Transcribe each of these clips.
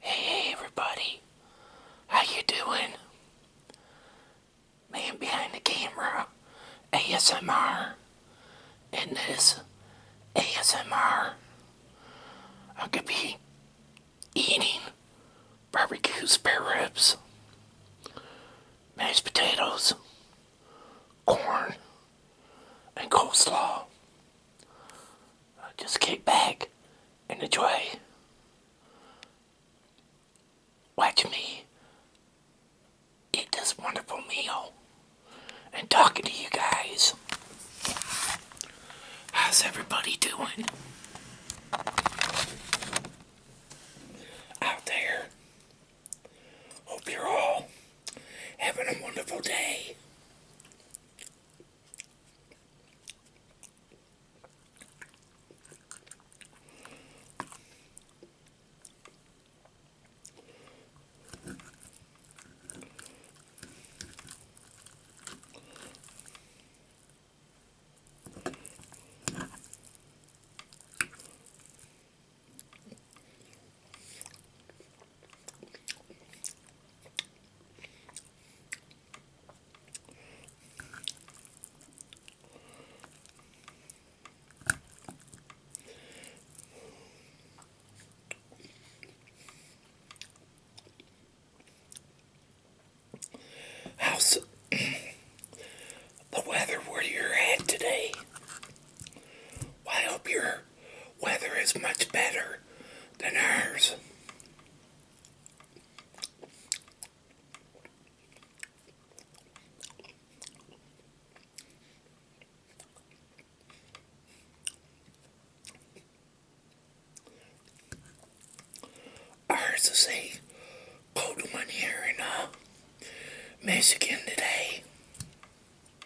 Hey, everybody. How you doing? Man behind the camera. ASMR. In this ASMR, I'm gonna be eating barbecue spare ribs, mashed potatoes, corn, and coleslaw. Uh, just kick back and enjoy. Watch me eat this wonderful meal and talking to you guys. How's everybody doing? Out there Hope you're all having a wonderful day. How's the weather where you're at today? I hope you're weather is much better than ours. Ours is a cold one here in uh, Michigan today.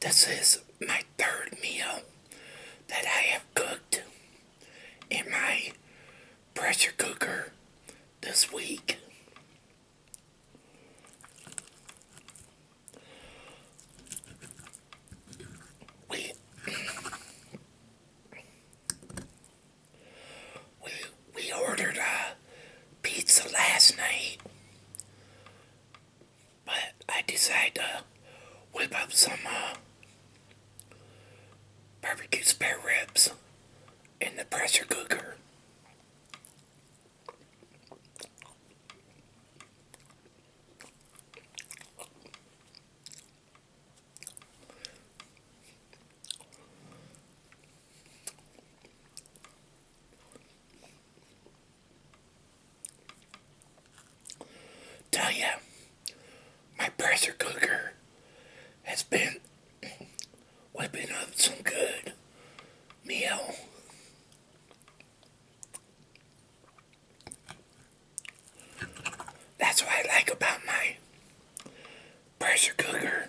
this is my third meal that I have cooked in my pressure cooker this week. We we ordered a pizza last night, but I decided to whip up some uh, barbecue spare ribs in the pressure cooker. Tell ya, my pressure cooker has been whipping up some good meal. That's what I like about my pressure cooker.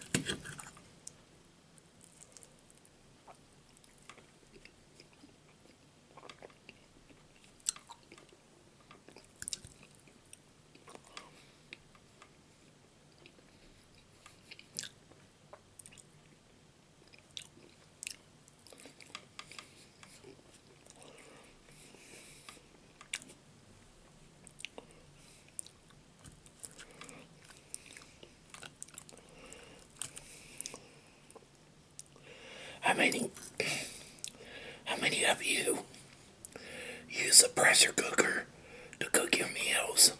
How many, how many of you use a pressure cooker to cook your meals?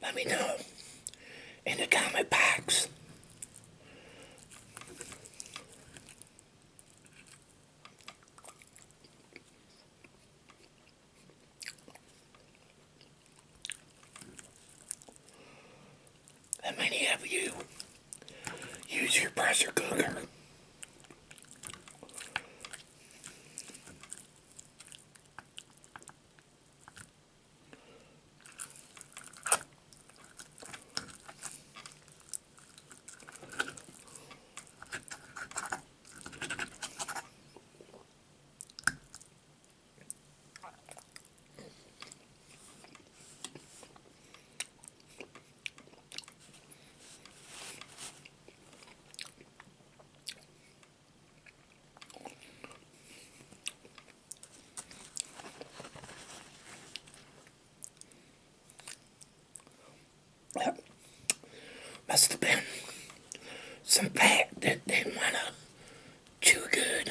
Let me know in the comic box. How many of you use your pressure cooker? That must have been some fact that they want up chew good.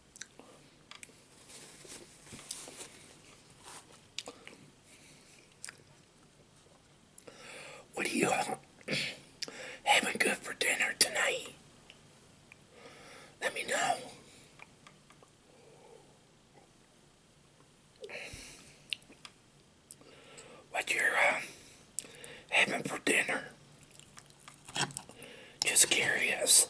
What do you having good for dinner tonight? Let me know. What you're uh, having for dinner? Just curious.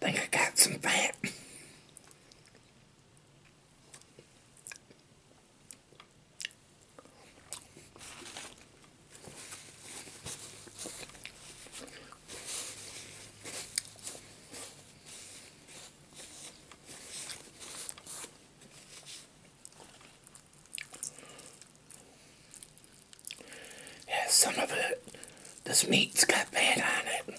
think I got some fat. Yeah, some of it, this meat's got bad on it.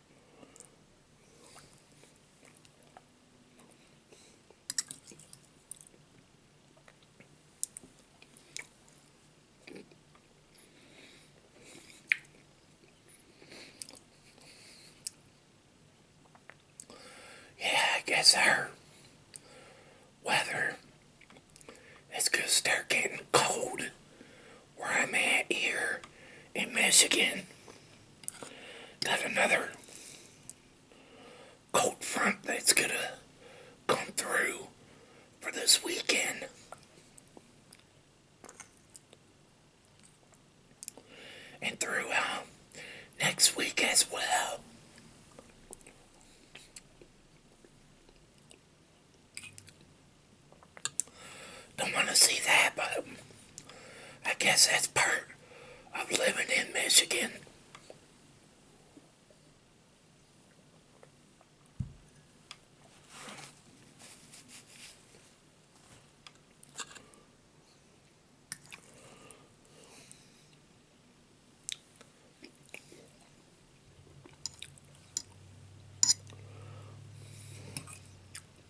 Yeah, I guess our weather is going to start getting cold where I'm at here in Michigan. Got another cold front that's gonna come through for this weekend. And throughout uh, next week as well. Don't want to see that, but I guess that's part of living in Michigan.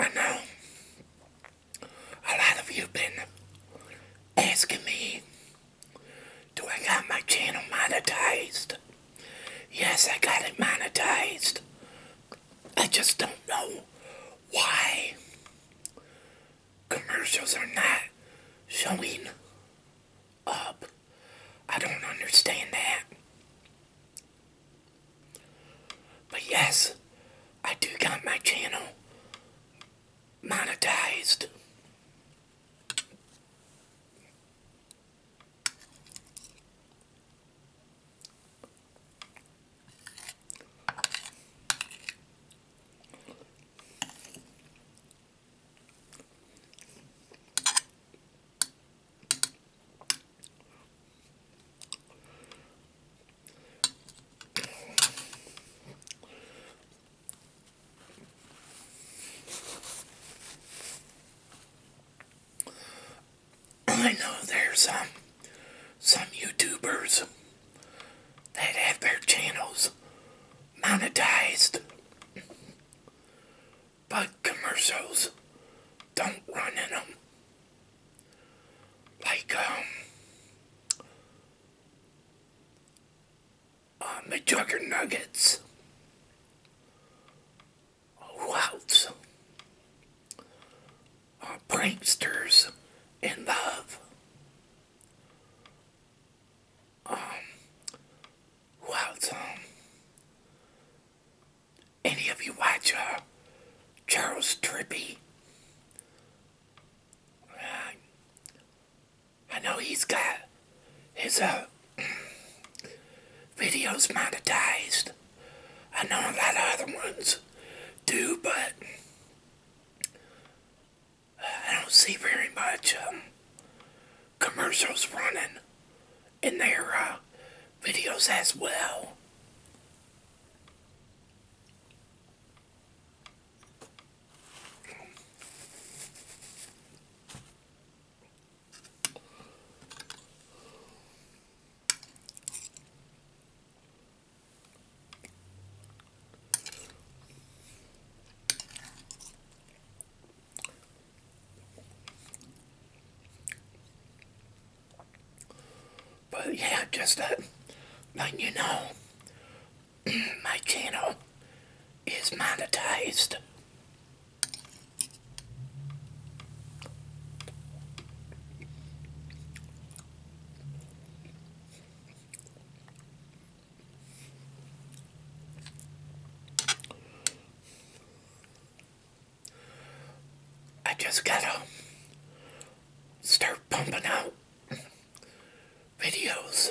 I know a lot of you have been asking me, do I got my channel monetized? Yes, I got it monetized. I just don't know why commercials are not showing up. I don't understand that. But yes, I do got my channel monetized. I know there's um, some YouTubers that have their channels monetized, but commercials don't run in them. Like, um, uh, McJugger Nuggets. Who else? Uh, pranksters in love. Um, Um, any of you watch uh, Charles Trippy? Uh, I know he's got his uh, videos monetized. I know a lot of other ones do, but I don't see very much um, commercials running in their uh, videos as well. But yeah, just uh, you know, my channel is monetized. I just gotta start pumping out videos.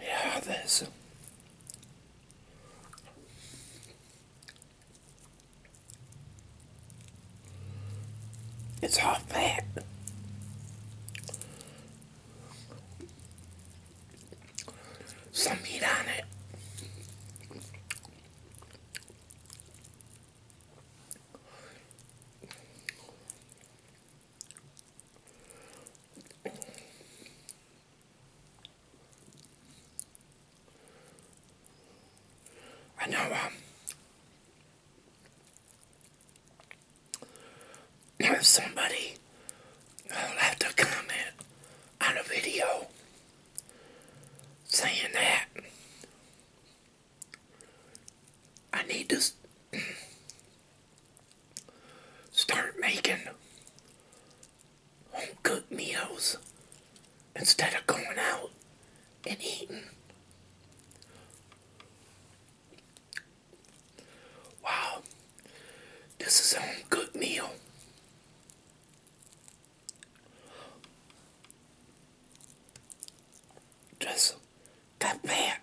Yeah, this. It's all fat. Some meat on it. I know um there's somebody will have to comment on a video saying that I need to start making home cooked meals instead of going out and eating. Wow, this is a home cooked meal. Just Got fat.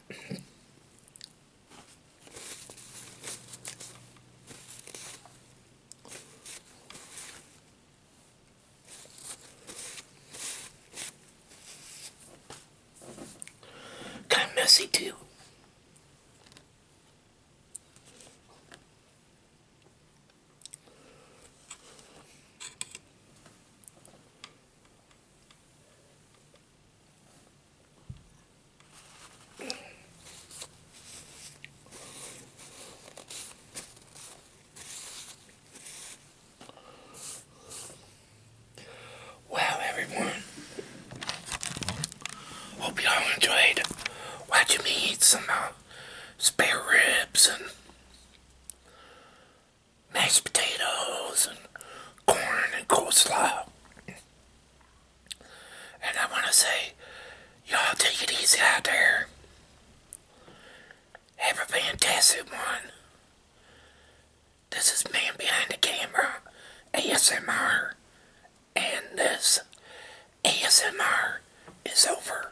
Kind of messy too. Well, everyone, hope y'all enjoyed watching me eat some uh, spare ribs and mashed potatoes and corn and coleslaw. And I want to say, y'all take it easy out there. Have a fantastic one. This is Man Behind the Camera, ASMR, and this ASMR is over.